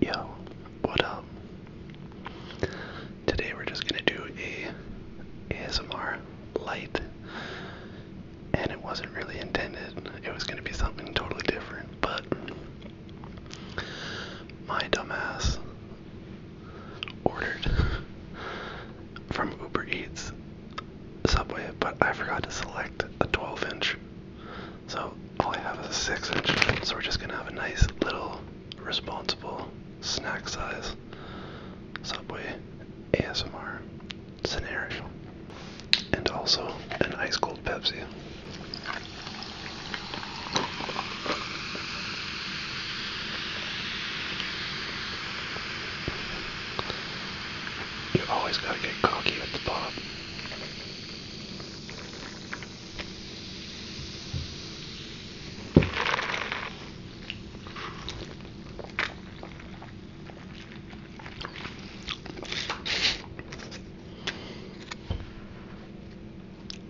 Yo, what up? Today we're just gonna do a ASMR light, and it wasn't really intended. It was gonna be something totally different, but my dumbass ordered from Uber Eats Subway, but I forgot to select a 12 inch so all I have is a six inch, so we're just gonna have a nice little responsible snack size Subway ASMR scenario. And also an ice cold Pepsi. You always gotta get cocky at the pop.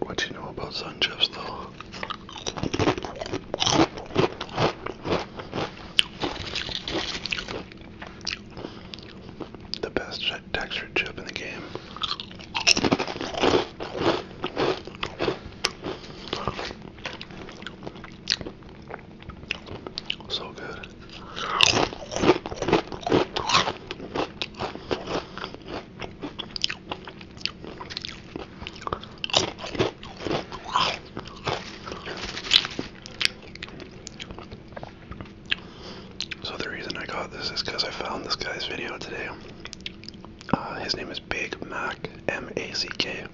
What do you know about sun chips though? the best textured chip in the game. So good. So the reason I got this is because I found this guy's video today. Uh, his name is Big Mac M A C K,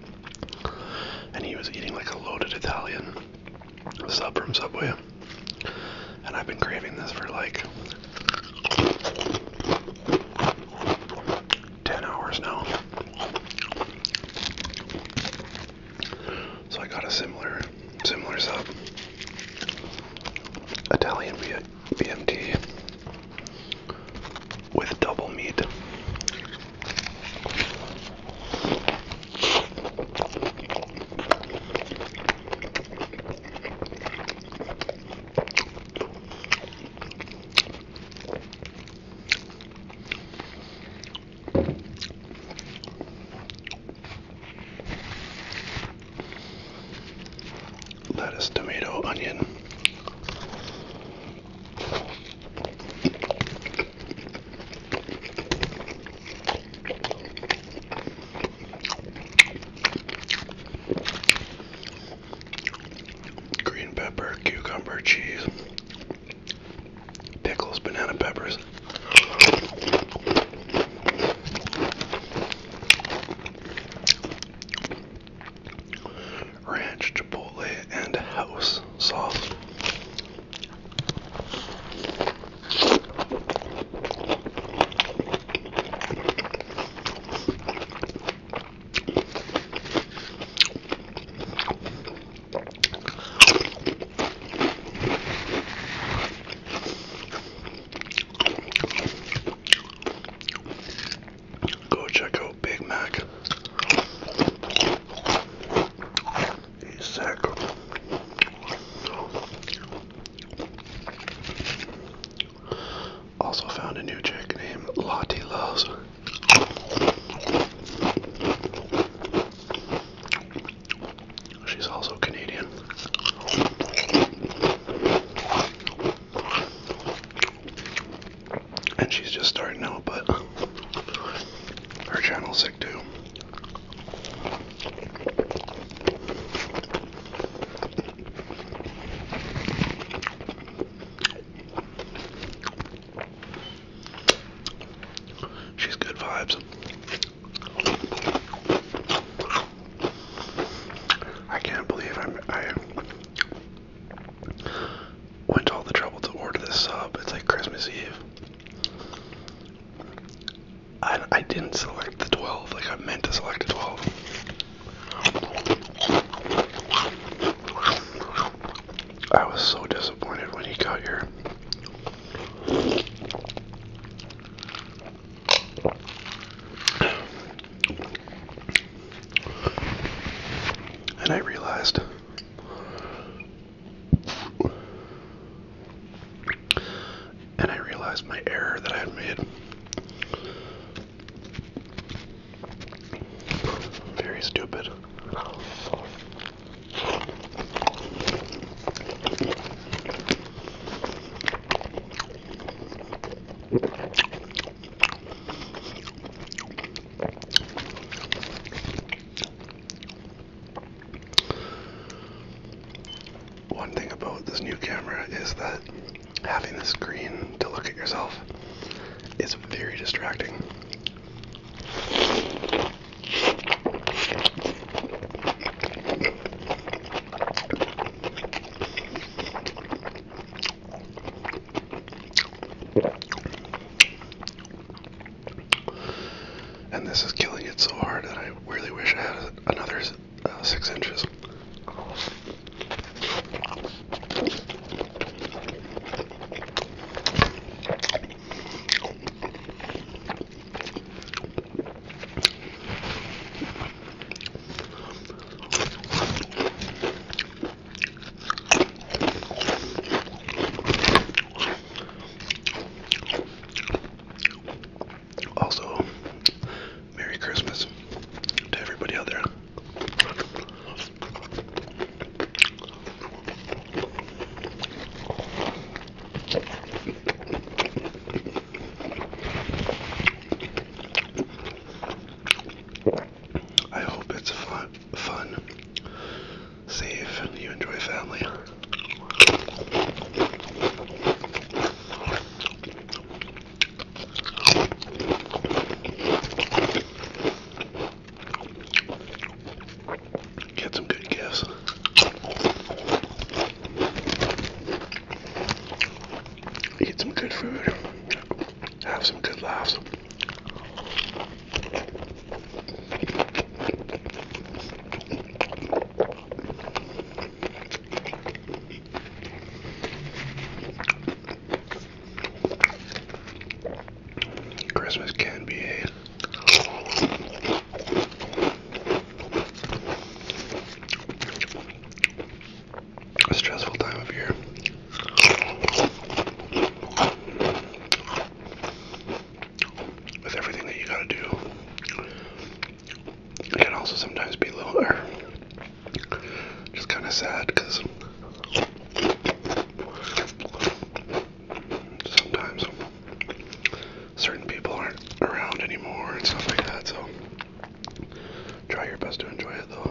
and he was eating like a loaded Italian sub from Subway. And I've been craving this for like 10 hours now. So I got a similar, similar sub, Italian B BMT with double meat. Lettuce, tomato, onion. Green pepper, cucumber, cheese, pickles, banana peppers. Ranch, chipotle, and house sauce. Go check out Big Mac. He's sick. Also found a new chick named Lottie Loves. She's also Canadian. And she's just starting out, but her channel's sick too. She's good vibes. I can't believe I'm, I went all the trouble to order this sub. It's like Christmas Eve. I, I didn't select the 12. Like, I meant to select the 12. I was so disappointed when he got here. And I realized and I realized my error that I had made. Very stupid. One thing about this new camera is that having the screen to look at yourself is very distracting. And this is killing it so hard that I really wish I had another uh, six inches. Also, Merry Christmas to everybody out there. I hope it's fun, fun, safe, you enjoy family. Get some good gifts. Eat some good food. Have some good laughs. Christmas can be a stressful time of year. With everything that you gotta do, it can also sometimes be a little, or er, just kind of sad because sometimes certain people aren't around anymore and stuff like that. So try your best to enjoy it though.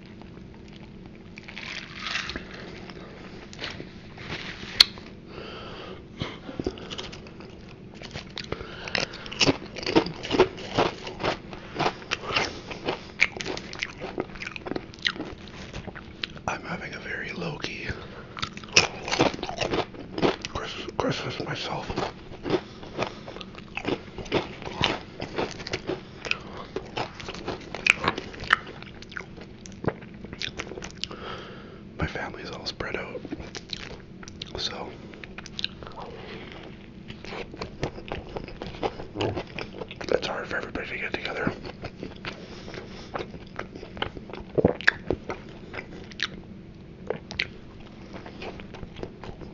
I'm having a very low key Christmas myself. My family's all spread out, so it's hard for everybody to get together.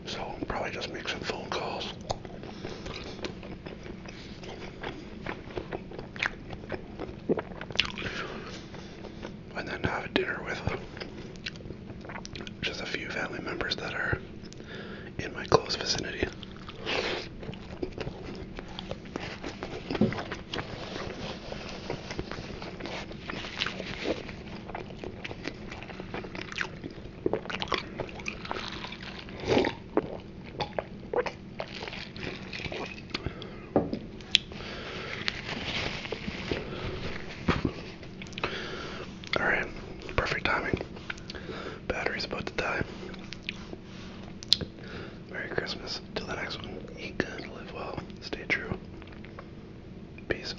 So I'm probably just make some phone calls. And then have dinner with just a few family members that are in my close vicinity. All right, perfect timing. Battery's about to die. Merry Christmas. Till the next one. Eat good, live well, stay true. Peace.